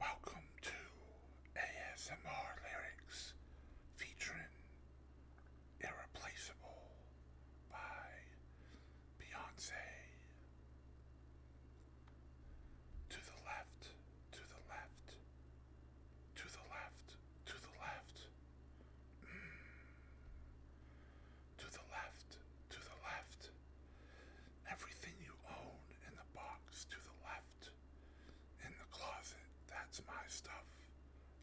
Welcome to ASMR Lyrics featuring Irreplaceable by Beyonce. To the left, to the left, to the left, to the left. Mm. To the left, to the left everything you own in the box to the left. In the closet, that's my stuff.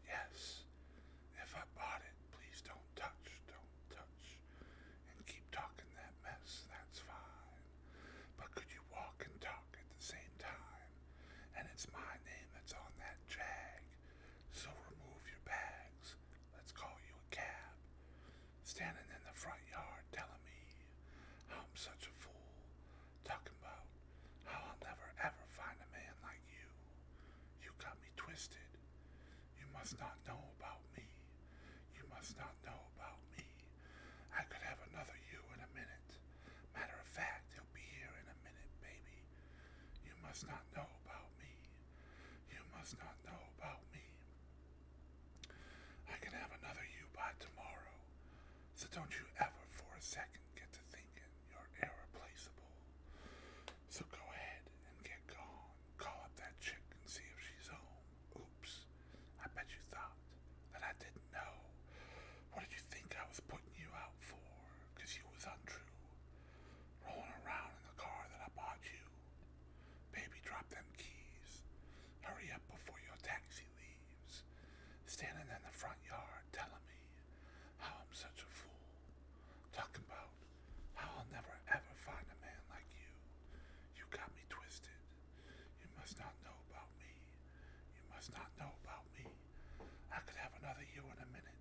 Yes, if I bought it, please don't touch, don't touch. And keep talking that mess, that's fine. But could you walk and talk at the same time? And it's my name that's on that jag. So remove your bags. Let's call you a cab standing in the front yard telling me how I'm such a fool, talking about how I'll never ever find a man like you. You got me twisted. You must not know about me. You must not know about me. I could have another you in a minute. Matter of fact, he'll be here in a minute, baby. You must not know about me. You must not know about me. I can have another you by tomorrow, so don't you ever for a second get to thinking you're irreplaceable. So go ahead and get gone. Call up that chick and see if she's home. Oops, I bet you thought that I didn't know. What did you think I was putting you out for? you was untrue. Rolling around in the car that I bought you Baby, drop them keys. Hurry up before your taxi leaves. Standing in the front yard telling me how I'm such a fool. Talking about how I'll never ever find a man like you. You got me twisted. You must not know about me. You must not know about me. I could have another you in a minute.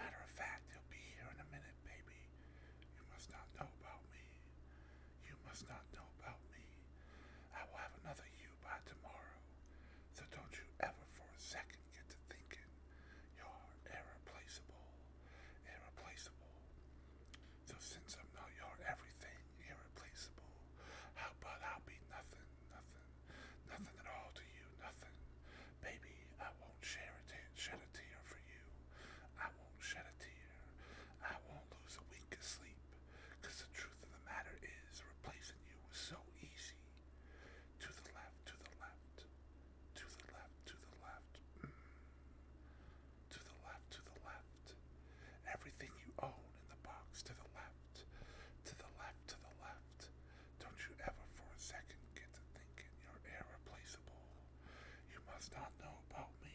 Matter of fact, he'll be here in a minute, baby. You must not know about me. You must not know about me. I will have another you by tomorrow. So don't you ever for a second get to thinking you're irreplaceable. Irreplaceable. So since I'm not your everything irreplaceable, how about I'll be nothing, nothing, nothing at all to you, nothing. Baby, I won't shed a tear for you. I won't shed a tear. I won't lose a wink of sleep. Cause the truth of the matter is, replacing you was so easy. To the left, to the left, to the left, to the left. Mm. To the left, to the left. Everything you own in the box to the left, to the left, to the left. Don't you ever for a second get to thinking you're irreplaceable. You must not know about me.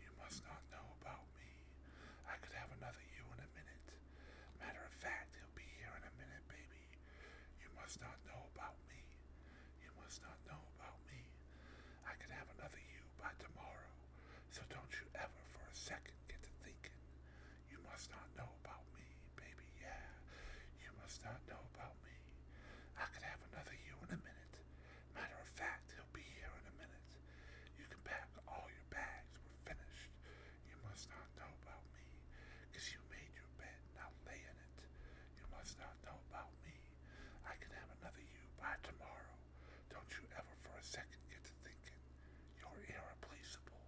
You must not know about me. I could have another you in a minute. Matter of fact, he'll be here in a minute, baby. You must not know about me. You must not know about me. I could have another you by tomorrow. So don't you ever for a second get to thinking you must not know about me, baby, yeah. You must not know about me. I could have another you in a minute. Matter of fact, he'll be here in a minute. You can pack all your bags. We're finished. You must not know about me. you made your bed, now lay in it. You must not know about me. I can have another you by tomorrow. Don't you ever for a second get to thinking. You're irreplaceable.